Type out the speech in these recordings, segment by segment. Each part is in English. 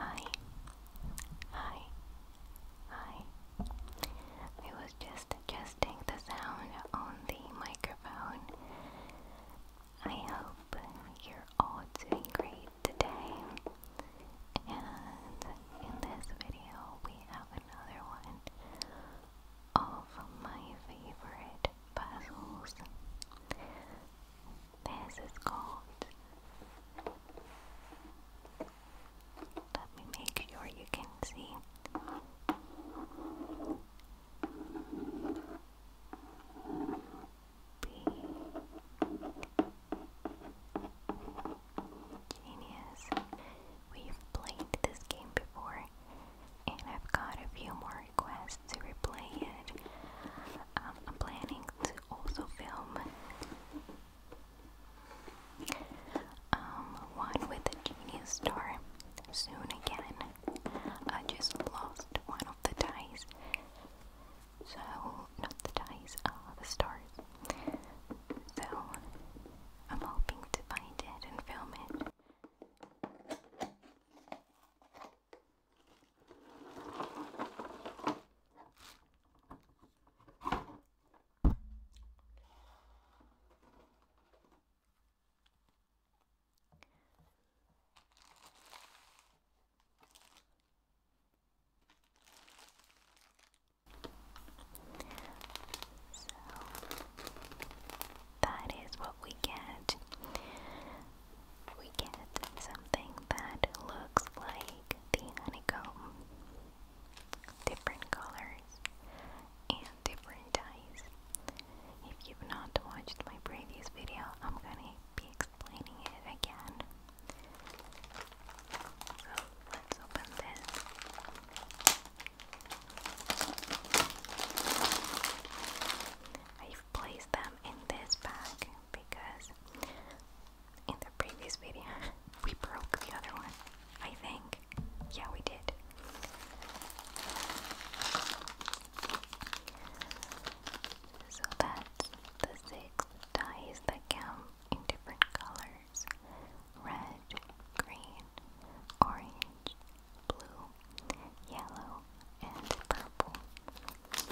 Hi, hi, hi. I was just adjusting the sound on the microphone. I hope you're all doing great today. And in this video, we have another one of my favorite puzzles. This is called. Let me make sure you can see. Genius. We've played this game before, and I've got a few more requests to replay it. Um, I'm planning to also film um, one with the Genius Star soon again. I just lost one of the dice. So, not the dice, uh, the stars. So, I'm hoping to find it and film it. So that is what we get we get something that looks like the honeycomb. Different colors and different dyes. If you've not watched my previous video, I'm gonna be explaining it again. So let's open this. I've placed them in this bag because in the previous video we broke the other one, I think. Yeah, we did. So that's the six dyes that come in different colors red, green, orange, blue, yellow, and purple.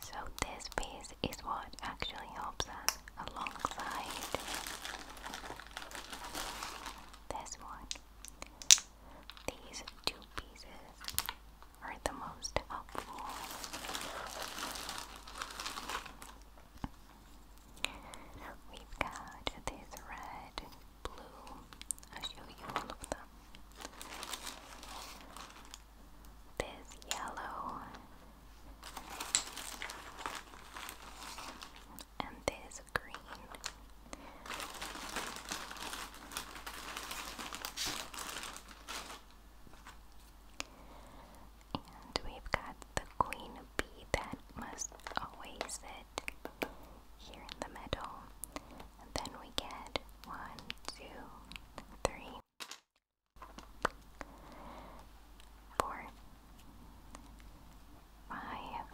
So this piece is what actually helps us alongside this one. These two pieces are the most helpful. We've got this red blue. I'll show you all of them this yellow, and this green. And we've got the queen bee that must always sit here in the middle. And then we get one, two, three, four, five,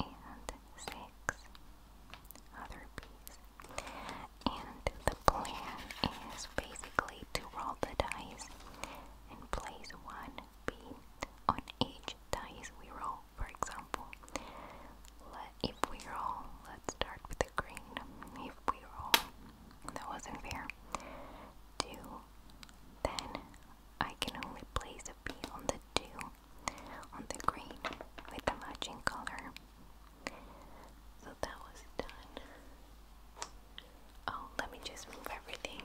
and six other bees. And the plan is basically to roll the dice and place one bee on each dice we roll. For example, if we roll, let's start with the green. If we roll, that wasn't fair. Two, then I can only place a B on the two, on the green, with the matching color. So that was done. Oh, let me just move everything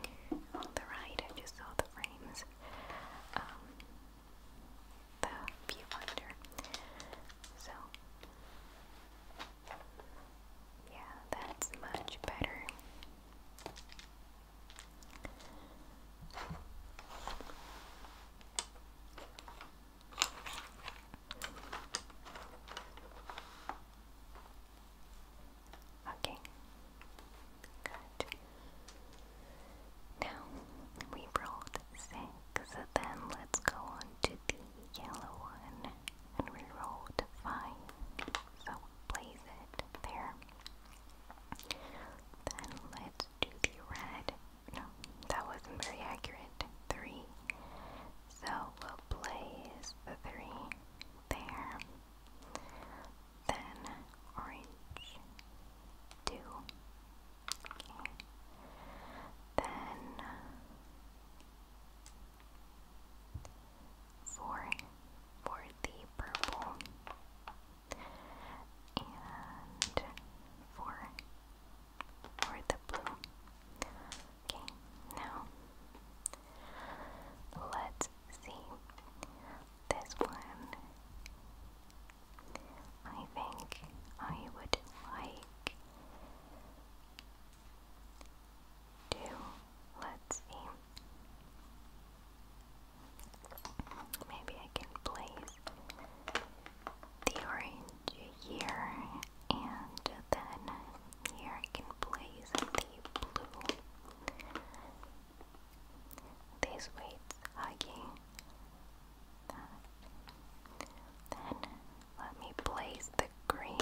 on the right. I just saw the frames. Um, the viewfinder. So, yeah, that's much better. Okay, good. Now we rolled six. So then let's go on to the yellow one and we rolled five. So place it there. Then let's do the red. No, that wasn't very accurate. Three. So we'll place the three there. Then orange. Two. Okay. Then four for the purple and four for the blue. Okay, now let's see. This one I think I would like to, let's see, maybe I can place the orange here, and then here I can place the blue. This weights hugging then let me place the green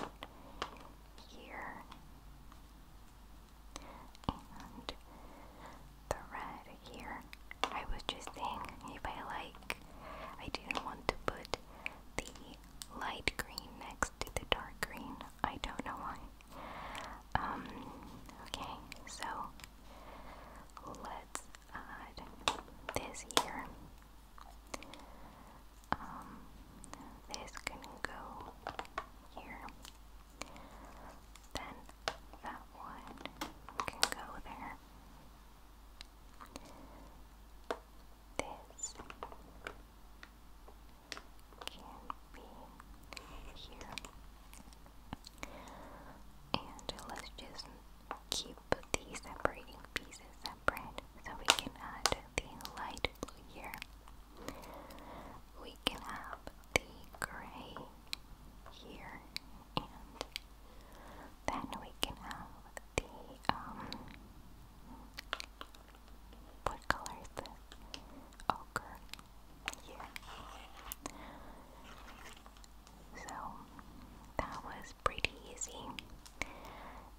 here and the red here. I was just saying if I like, I didn't want to put the light green next to the dark green. I don't know why. Um, okay, so let's uh, this year. Um, this can go here. Then that one can go there. This can be here. And let's just keep keep the separating pieces separate so we can add the light blue here. We can have the gray here and then we can have the um what color is this? Ochre here. So that was pretty easy,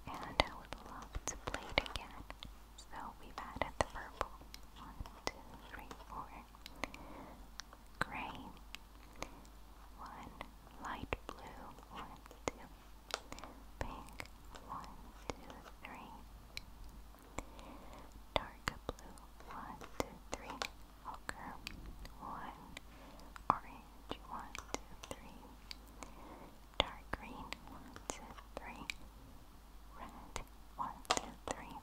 and I would love to play it again. So we've added the purple. One, two, three, four. Gray. One. Light blue. One, two. Pink. One, two, three. Dark blue. One, two, three. Walker, one orange, one, two, three, dark green, one, two, three, red, one, two, three,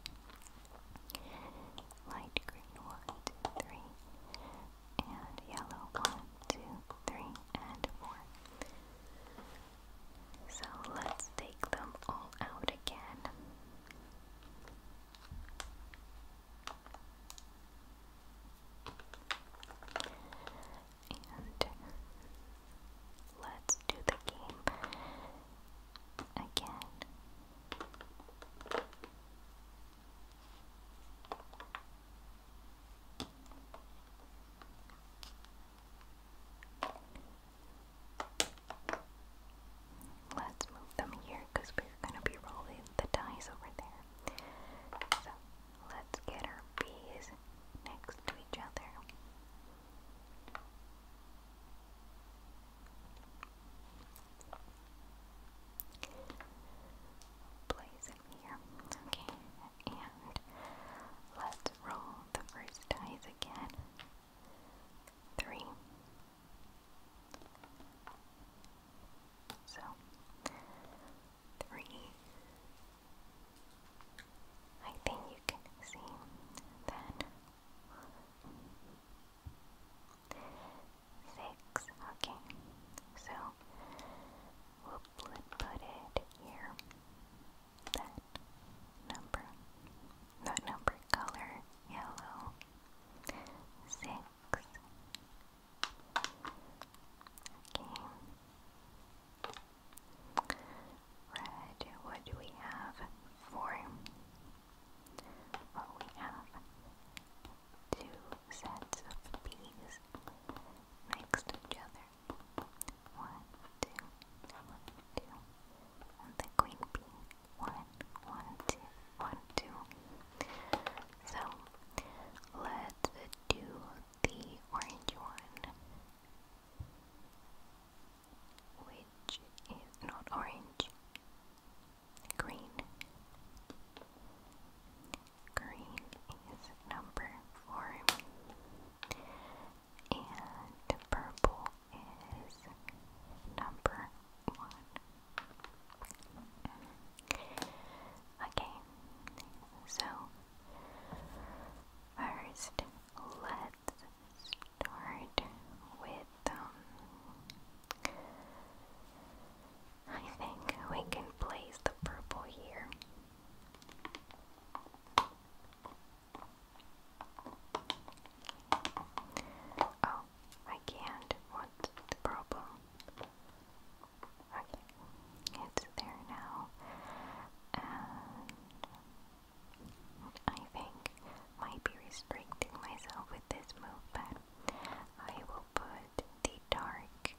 light green, one, two, three, and yellow, one, two, three, and four. So let's take them all out again. And let's do the game again. Let's move them here because we're going to be rolling the dice over there. So let's get our bees next to each other. Place it here. Okay, and let's roll the first dice again. Three, so, three. I think you can see then. Six. Okay. So we'll put it here. That number. That number color yellow. Six. Okay. Red, what do we have? Four. Well, we have two sets of bees next to each other. One, two, one, two, and the queen bee one, one, two, one, two. So let's do the orange one, which is not orange, green. Green is number four, and purple is number one. Okay, so first let's start with um I think we can place the purple here. Oh, I can't. What's the problem? Okay, it's there now. I think might be restricting myself with this move, I will put the dark.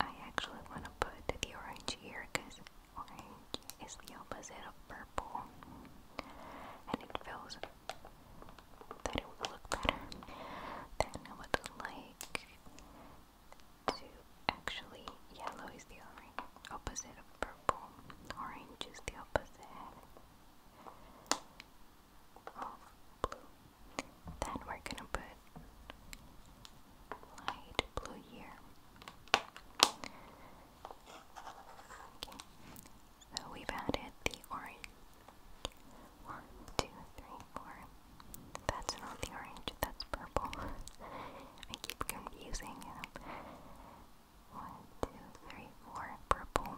I actually want to put the orange here because orange is the opposite of purple and it feels that it would look better. Then I would like to actually, yellow is the opposite of purple. Orange is the opposite of blue. Then we're gonna put light blue here. Okay. So we've added the orange. One, two, three, four. That's not the orange, that's purple. I keep confusing them. One, two, three, four, purple.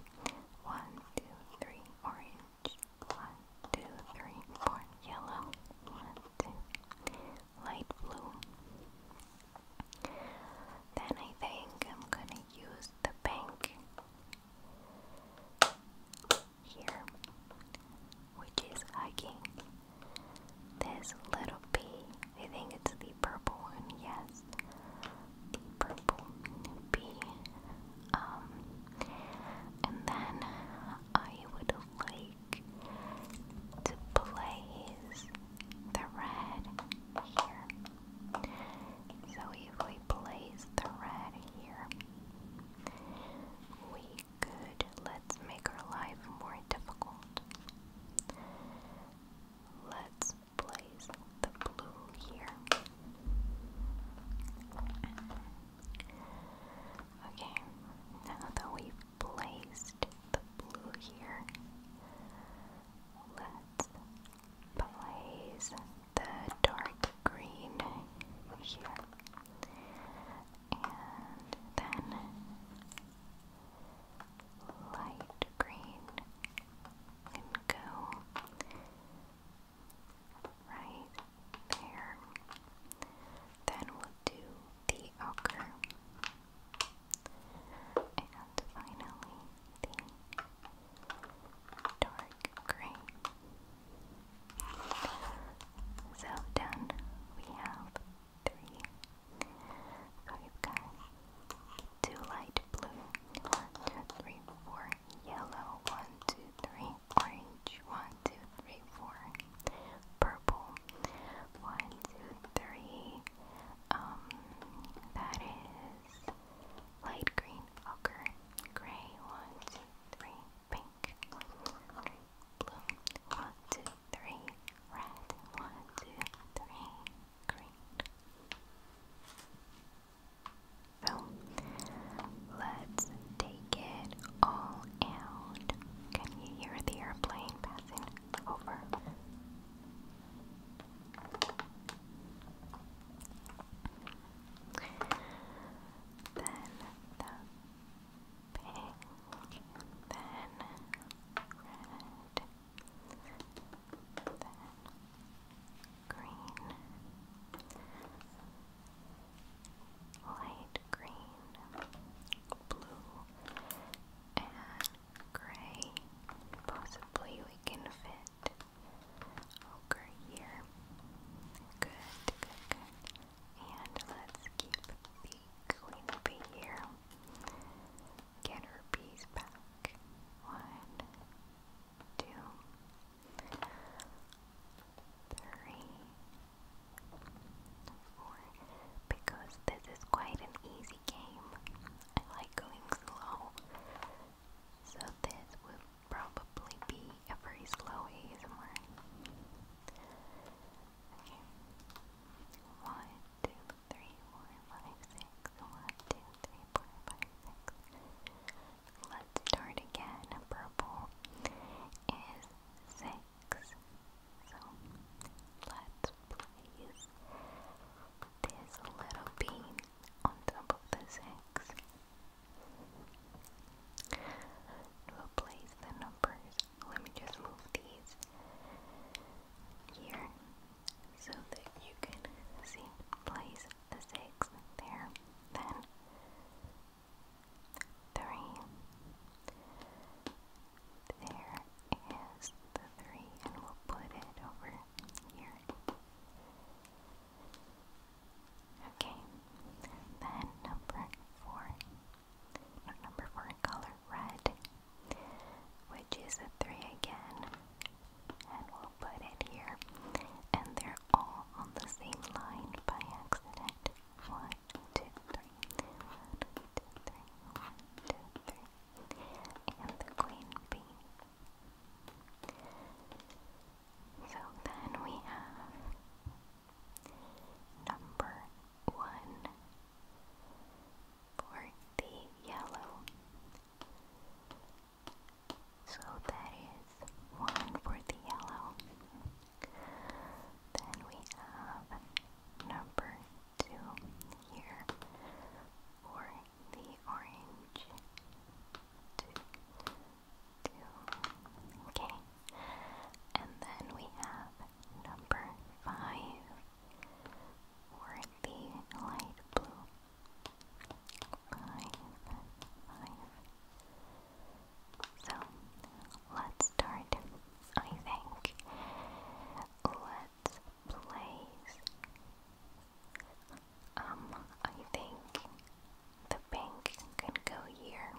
One, two, three, orange. One, two, three, four, yellow. One, two, light blue. Then I think I'm gonna use the pink here, which is hugging this little bee. think it's the purple one, yes, the purple bee. Um, and then I would like to place the red here. So if we place the red here, we could, let's make our life more difficult. Let's place the blue here. Okay, now that we've placed the blue here, let's plays the dark green here. And then light green can go right there. Then we'll do the ochre. And finally, the dark gray. So done, we have three. light blue, one, two, three, four, yellow, one, two, three, orange, one, two, three, four, purple, one, two, three. Um, that light green, ochre, gray, one, two, three, pink, blue, one, two, three, red, one, two, three, green. So let's take it all out. Can you hear the airplane passing over? Then the pink, then red, then green, light green, blue, and gray. Possibly we can fit Ochre here. Good, good, good. And let's keep the queen bee here. Get her piece back. One, two, three, four. Because this is quite an easy game. I like going slow. So this will probably be a very slow ASMR. Okay. One, two, three, four, five, six. One, two, three, four, five, six. Let's start again. Purple is six. So let's place this little bean on top of the 6. We'll place the numbers. Let me just move these here so that you can see. Place the 6 there. Then 3. There is the 3, and we'll put it over here. Okay, then number four. Number four color red, which is a three again, and we'll put it here. And they're all on the same line by accident. One, two, three. And the queen bee. So then we have number one for the yellow. So that is one for the yellow. Then we have number two here for the orange. Two, two. Okay. And then we have number five or the light blue. Five, five. So let's start. I think place. Um, I think the pink could go here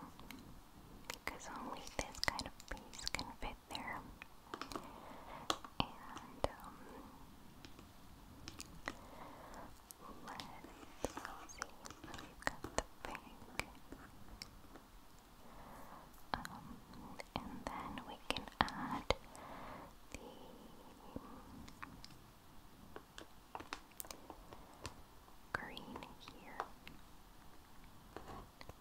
because only this kind of piece can fit there. And um, let's see we've got the pink. Um and then we can add the green here.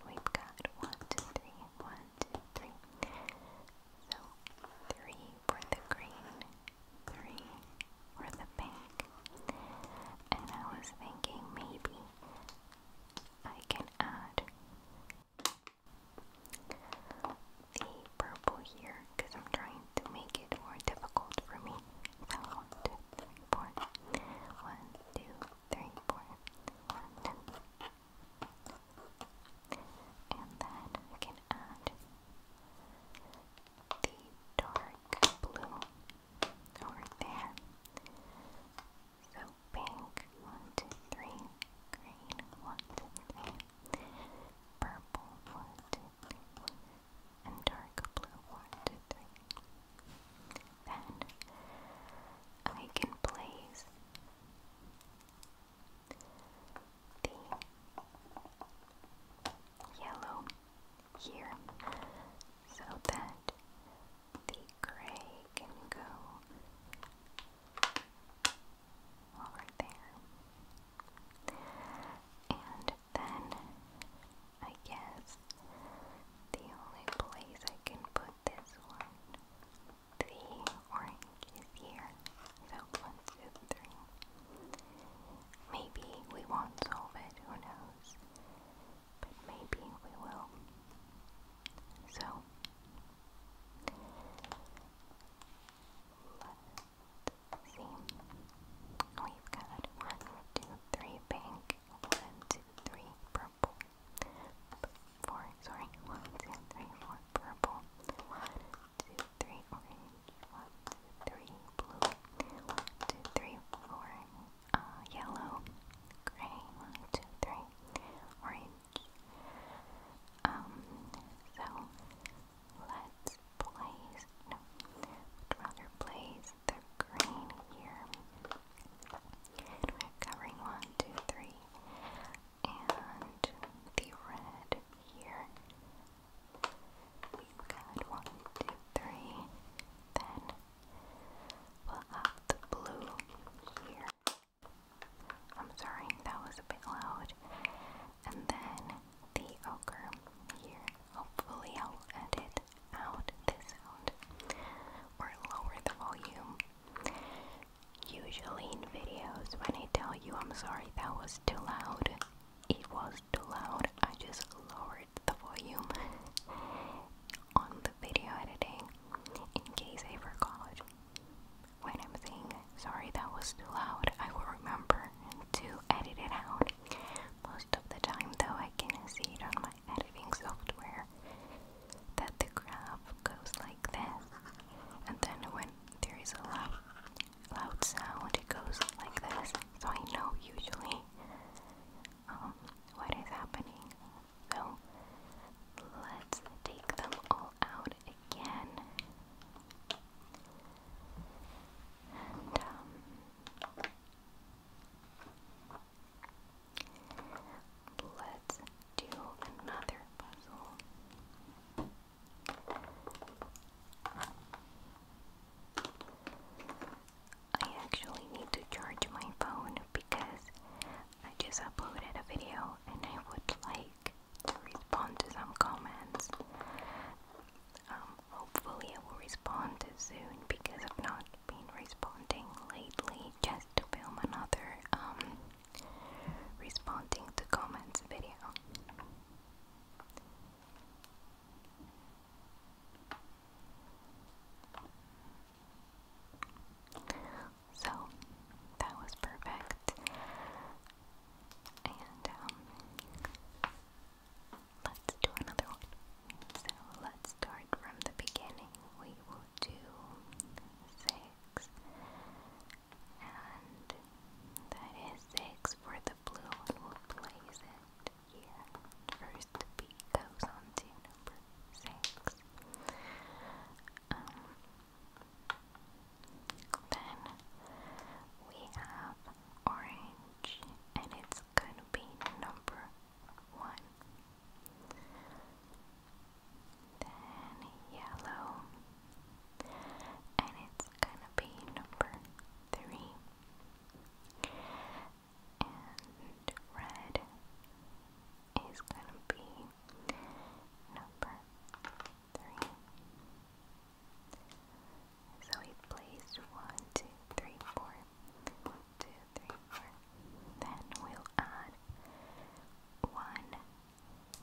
We've got one, two, three, one, two, three. So three for the green, three for the pink. And I was thinking maybe I can add the purple here because I'm trying to make it more difficult for me. so 1234 And then I can add the dark blue over there. So pink, one, two, three, green, one, two, three, purple one, two, three, and dark blue one, two, three. Then I can place the yellow here so that the gray can go all right there. And then I guess the only place I can put this one, the orange here. So let Maybe we won't solve it, who knows? But maybe we will. So Let's see. We've got one, two, three pink, one, two, three purple, four, sorry, one, two, three, four purple, one, two, three one, two, three blue, one, two, three, four uh, yellow, gray, one, two, three, orange, um, so let's place, no, would rather the green here. covering one, two, three, and the red here. We've got one, two, three, then we'll have the blue here. I'm sorry, that was a bit loud. And then the ochre here. Hopefully, I'll edit out this sound or lower the volume. Usually, in videos, when I tell you I'm sorry, that was too loud, it was too loud. I just lowered the volume on the video editing in case I forgot when I'm saying sorry that was too loud, I will remember to edit it out. Most of the time, though, I can see it on my editing software that the graph goes like this, and then when there is a loud, loud sound, it goes like this. So I know usually um, what is happening. So Let's take them all out again. Um, let's do another puzzle. I actually need to charge my phone because I just uploaded a video and I would like respond to some comments. Um, hopefully, I will respond soon because I've not been responding lately. Just to film another um, responding to comments video. So that was perfect. And um, let's do another one. So let's start from the beginning. We will do six. And that is six for the blue and we First the goes on to number six. Um, then we have orange, and it's gonna be number one. Then yellow, and it's gonna be number three. And red is gonna be number three. So he placed one, two, three, four. One, two, three, four. Then we'll add one,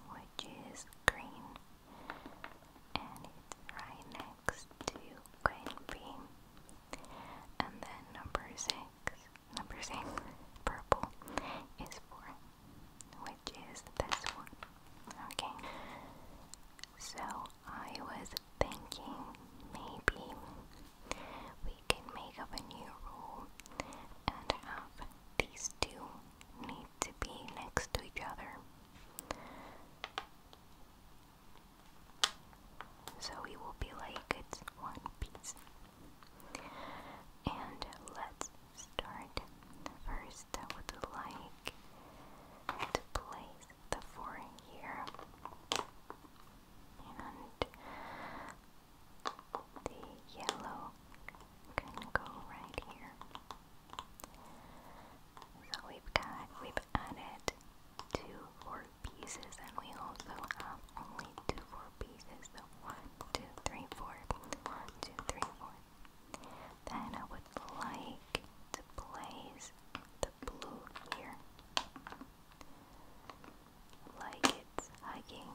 which is green, and it's right next to green And then number six, number six, purple is four which is this one. Okay, so I was thinking maybe we can make up a new rule and have these two need to be next to each other. So it will be like it's one piece. And let's start first. I would like to place the four here and the yellow can go right here. So we've got we've added two four pieces and we also have only two four pieces. So one, two, three, four. One, two, three, four. Then I would like to place the blue here. Like it's hugging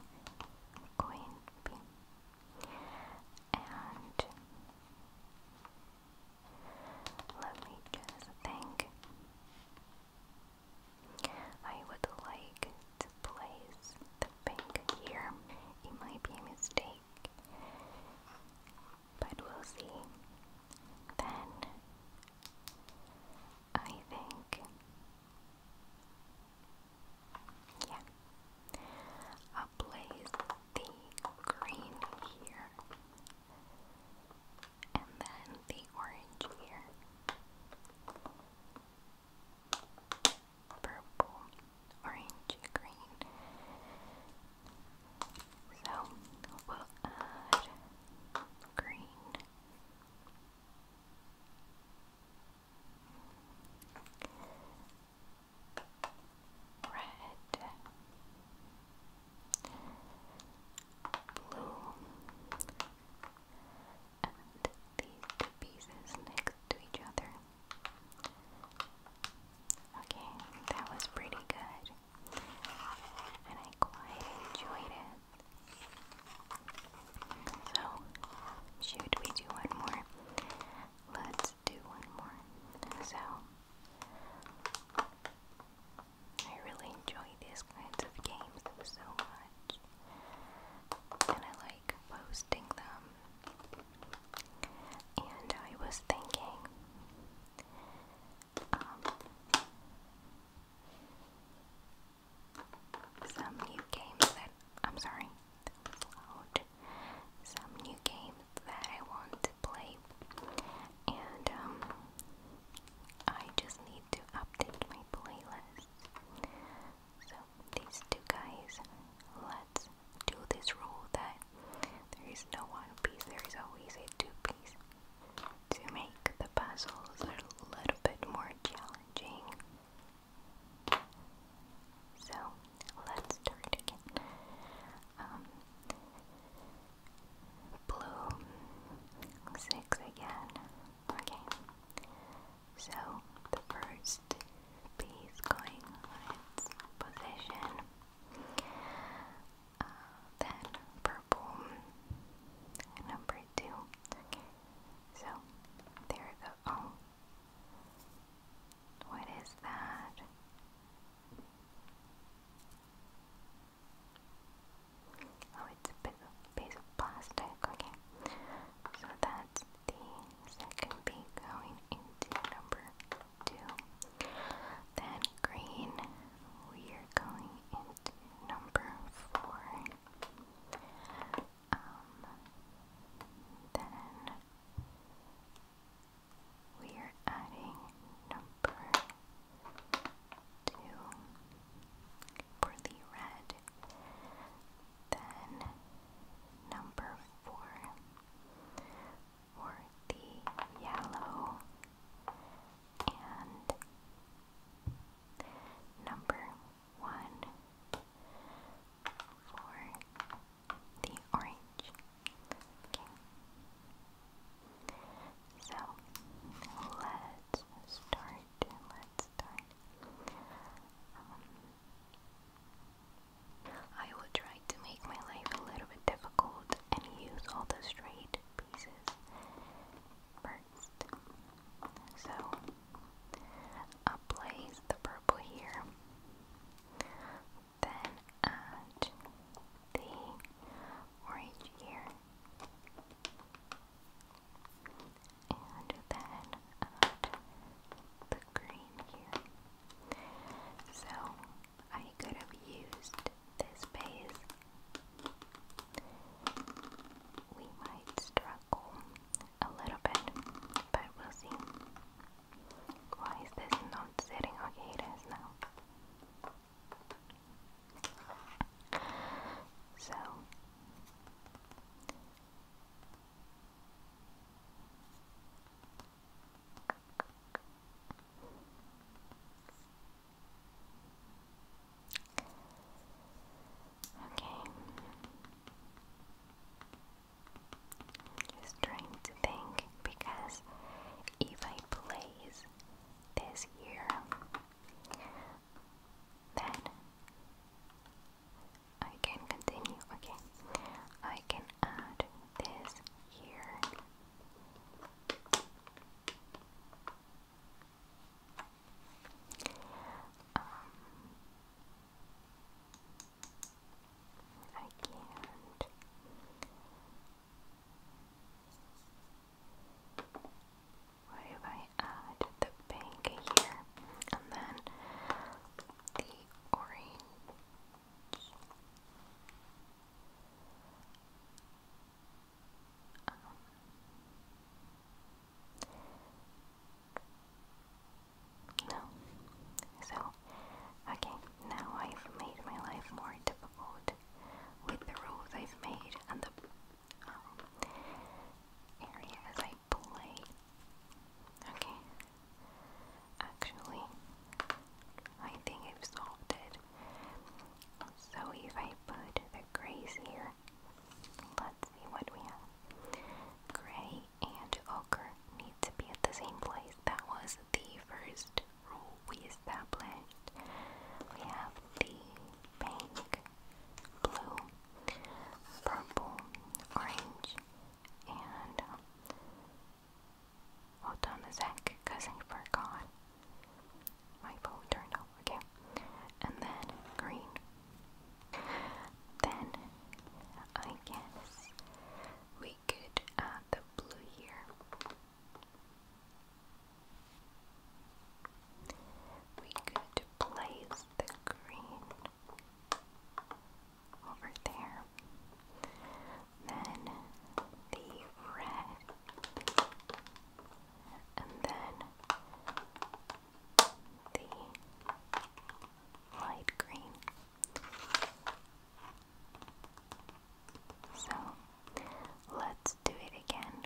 coin pink. And let me just think. I would like to place the pink here. It might be a mistake, but we'll see. Then I think, yeah, i place the green here and then the orange here purple, orange, green. So we'll add green. Red, blue, and these two pieces next to each other. Okay, that was pretty good. And I quite enjoyed it. So, should we do one more? Let's do one more. So, I really enjoy these kinds of games so much. And I like posting and I was thinking, um, some new games that I'm sorry, that Some new games that I want to play, and um, I just need to update my playlist. So these two guys, let's do this rule that there is no one piece, there is always a two piece to make the puzzles a little bit more challenging. So let's start again. Um, blue, six again, Okay. So the first piece going on its position. Uh, then purple. Number two. So there it goes. Oh. What is that? Oh, it's piece of plastic. Okay. So that's things that could be going into number two. Then green, we are going into number four. Um, then we are adding number two for the red. Then number four for the yellow and number one for the orange. Okay. So let's start. Let's start. Um, I will try to make my life a little bit difficult and use all the straight pieces first. So, i the purple here, then add the orange here, and then uh, the green here. So I could have used this base. We might struggle a little bit, but we'll see. Why is this not sitting? Okay, it is now. So Okay. i just trying to think because if I place this here, then I can continue. Okay, I can add this here. Um, I can What if I add the pink here, and then the orange. Um, no. So, okay, now I've made my life more difficult with the rules I've made and the um, areas I play. Okay. Actually, I think I've solved it. So if I put the grays here, let's see what we have. Gray and ochre need to be at the same place. That was the first rule we established. We have the pink, blue, purple, orange, and um, hold on a forgot my turned off. Okay, and then green. Then I guess we could add the blue here. We could place the green over there. Then the red, and then the light green. So let's do it again.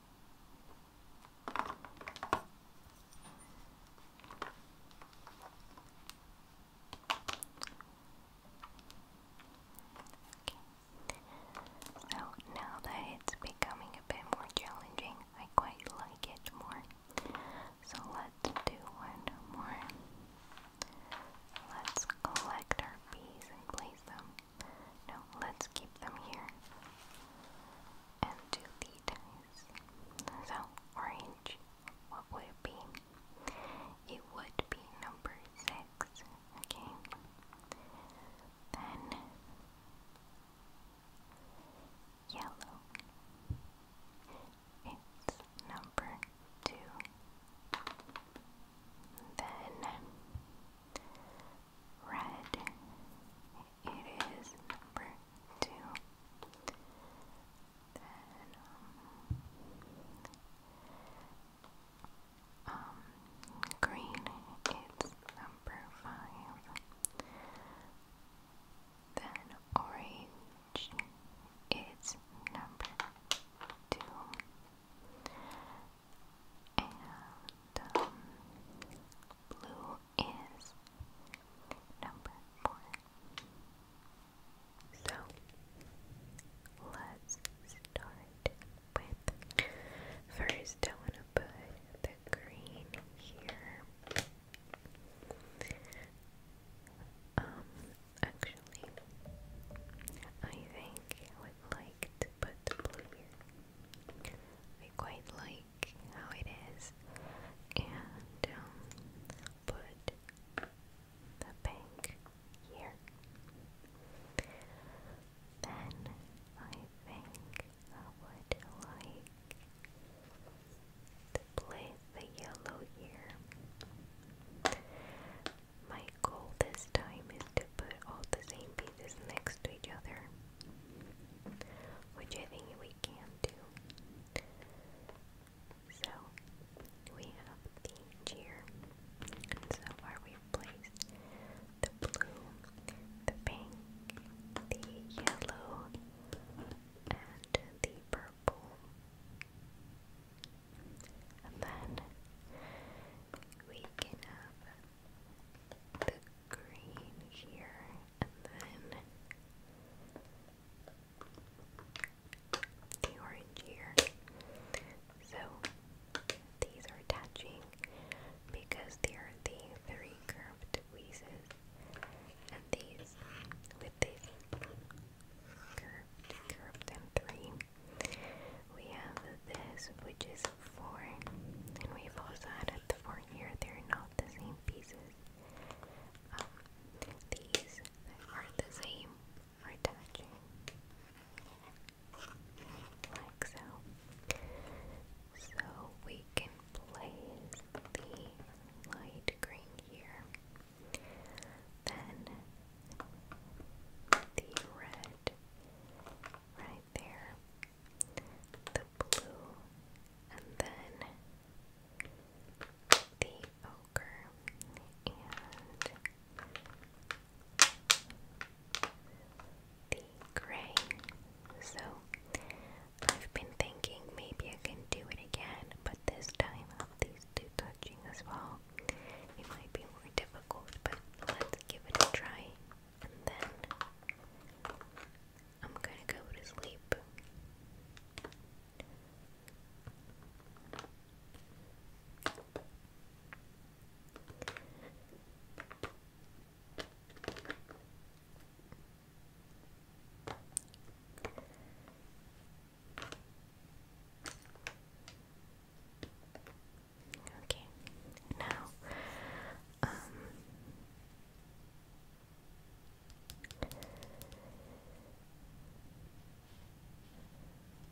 So now that it's becoming a bit more challenging, I quite like it more. So let's do one more. Let's collect our bees and place them. No, let's keep them here and do the ties. So, orange, what would it be? It would be number six, okay? Then, yellow, it's number two. Then, red it is number two. Then, um, um green, it's number five. Then orange, it's number two. And um, blue, is number four. So let's start with first I wanna put the green here. Um actually I think I would like to put the blue here. I quite like like how it is and um, put the bank here. Then I think I would like to place the yellow here. My goal this time is to put all the same pieces next to each other which I think we can do. So we have the cheer, and so far we've placed the blue, the pink, the yellow, and the purple. And then we can have the green here, and then the orange here. So these are touching because they are the three curved pieces, and these with these curved, curved and three. We have this, which is four, and we've also added the four here. They're not the same pieces. Um, these are the same are like so. So we can place the light green here, then the red right there, the blue, and then the ochre, and the gray. So I've been thinking maybe I can do it again, but this time of these two touching as well, it might be more difficult, but let's give it a try and then I'm gonna go to sleep. Okay. Now, um,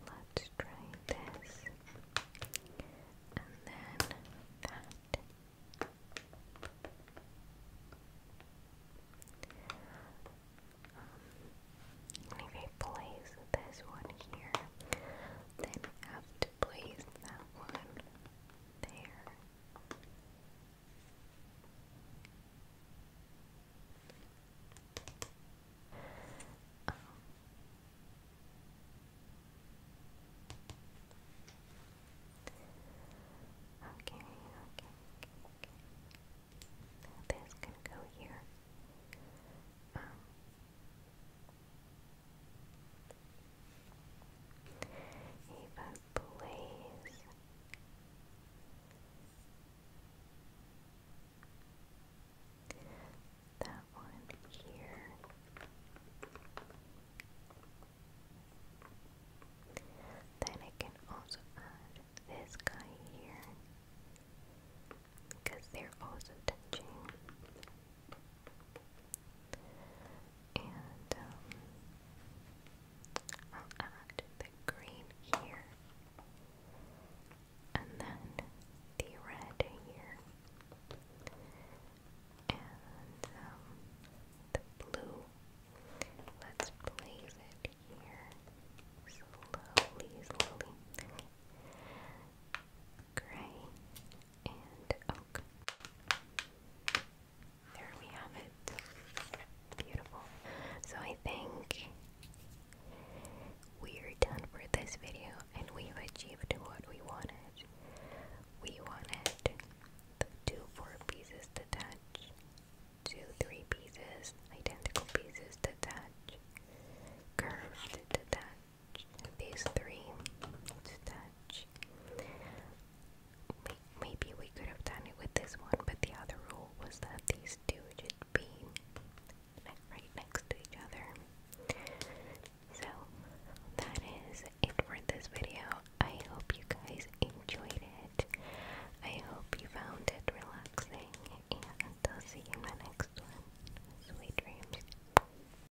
let's try this, and then that. Um, if I place this one here, then I have to place that one there. Okay, okay, This can go here. Um. Eva plays. That one here. Then I can also add this guy here because they're also touching. And um, I'll add the green here, and then the red here, and um, the blue. Let's place it here slowly, slowly. Gray and There we have it. Beautiful. So I think we're done for this video and we've achieved what we wanted. We wanted two four pieces detached, two three pieces, identical pieces detached, curved detached these three to touch. Maybe we could have done it with this one, but the other rule was that these two should be right next to each other. So that is it for this video. I hope you guys enjoyed it. I hope you found it relaxing, and I'll see you in the next one. Sweet dreams.